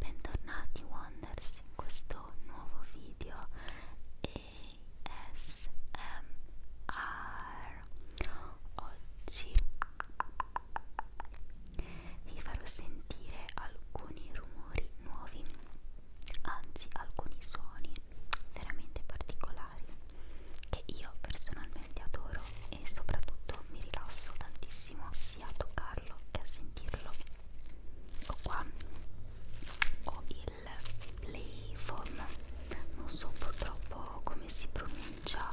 Bentornati Wonders in questo nuovo video ASMR Oggi vi farò sentire alcuni rumori nuovi, anzi alcuni suoni veramente particolari che io personalmente adoro e soprattutto mi rilasso tantissimo sia a toccarlo che a sentirlo ecco qua ho il Playform non so purtroppo come si pronuncia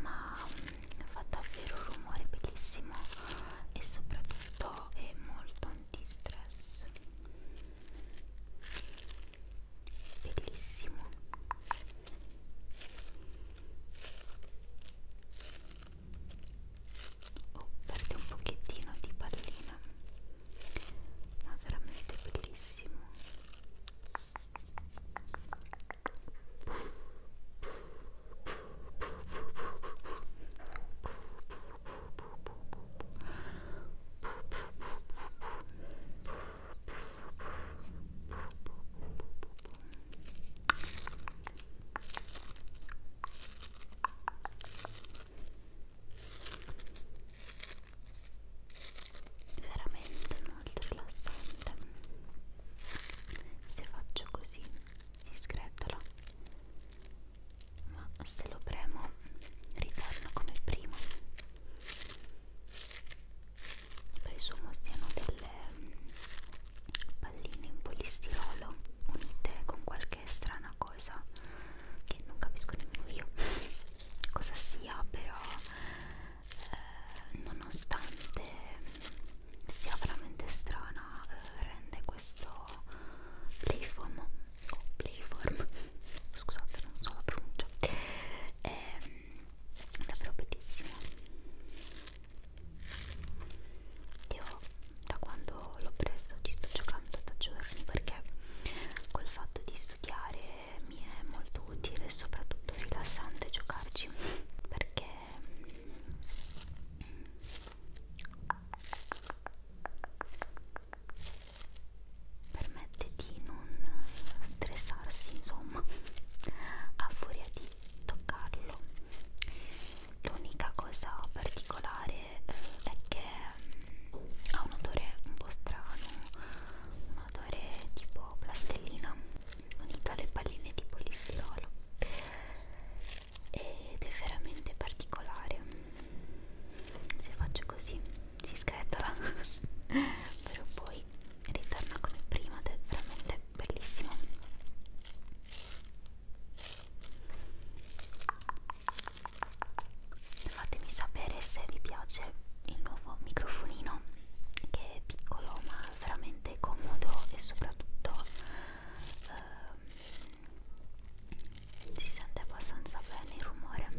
ma fa davvero rumore bellissimo e soprattutto è molto antistress bellissimo oh perde un pochettino di pallina ma veramente bellissimo veramente molto rilassante se faccio così si sgretola ma se lo premo ritorno come prima presumo siano delle mm, palline in polistirolo unite con qualche strana cosa che non capisco nemmeno io cosa sia però eh, nonostante sia veramente strana eh, rende questo playfoam o Playform, scusate non so la pronuncia, è ehm, davvero bellissimo. Io da quando l'ho preso ci sto giocando da giorni perché col fatto di studiare mi è molto utile e soprattutto rilassante giocarci perché mm, permette di non stressarsi insomma a furia di toccarlo l'unica cosa particolare eh, è che mm, ha un odore un po' strano un odore tipo plastellina unito alle palline di polistirolo ed è veramente particolare se faccio così si sgretola però poi ritorna come prima ed è veramente bellissimo fatemi sapere se vi piace il nuovo microfonino che è piccolo ma veramente comodo e soprattutto eh, si sente abbastanza bene il rumore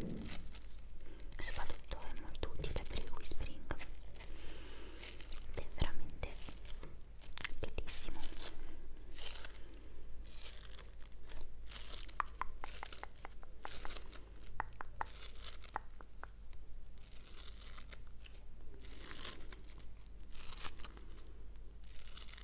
soprattutto è molto utile per il whispering ed è veramente bellissimo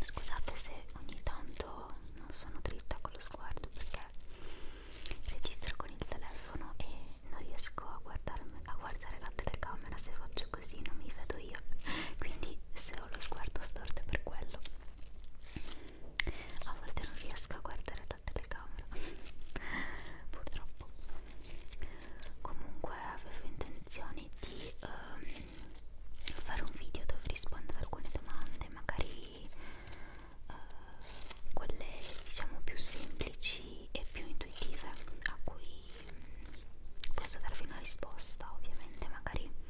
Scusate se ogni tanto non sono dritta con lo sguardo perché registro con il telefono e non riesco a, a guardare la telecamera se faccio così non mi vedo io quindi se ho lo sguardo storto è per quello a volte non riesco a guardare la telecamera purtroppo comunque avevo intenzione di um, fare un video dove rispondere a alcune domande magari uh, quelle diciamo più semplici e più intuitive a cui um, posso darvi una risposta ovviamente magari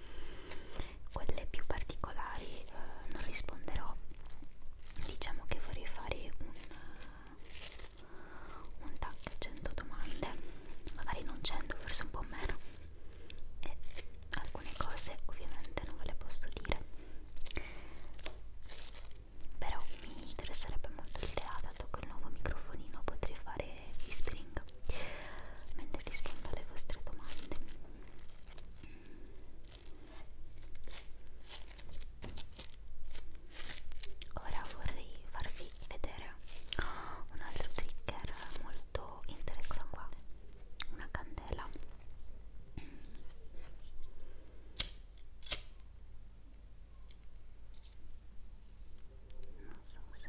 quelle più particolari eh, non risponderò diciamo che vorrei fare un, eh, un tag 100 domande magari non 100 forse un po' meno e alcune cose ovviamente non ve le posso dire però mi interesserebbe molto l'idea dato che il nuovo microfonino potrei fare whispering mentre rispondo alle vostre domande Ora vorrei farvi vedere un altro trigger molto interessante, una candela. Non so se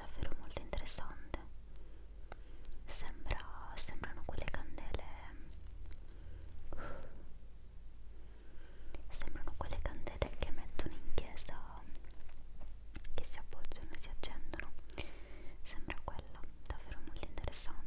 Davvero molto interessante. Sembra, sembrano quelle candele Sembrano quelle candele che mettono in chiesa che si appoggiano e si accendono. Sembra quella, davvero molto interessante.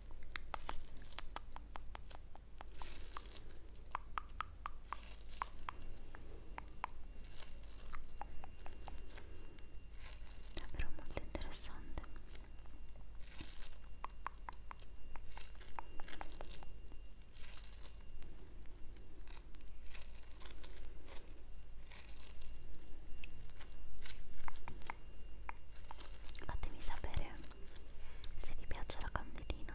davvero molto interessante fatemi sapere se vi piace la candelina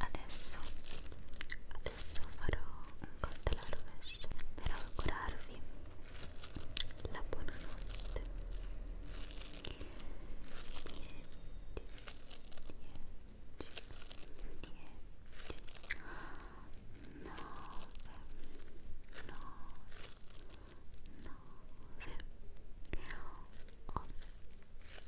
adesso adesso farò un conto alla rovescia per augurarvi la buonanotte 10 10 10 9 9 9 8 7 6 5 4 3 2 1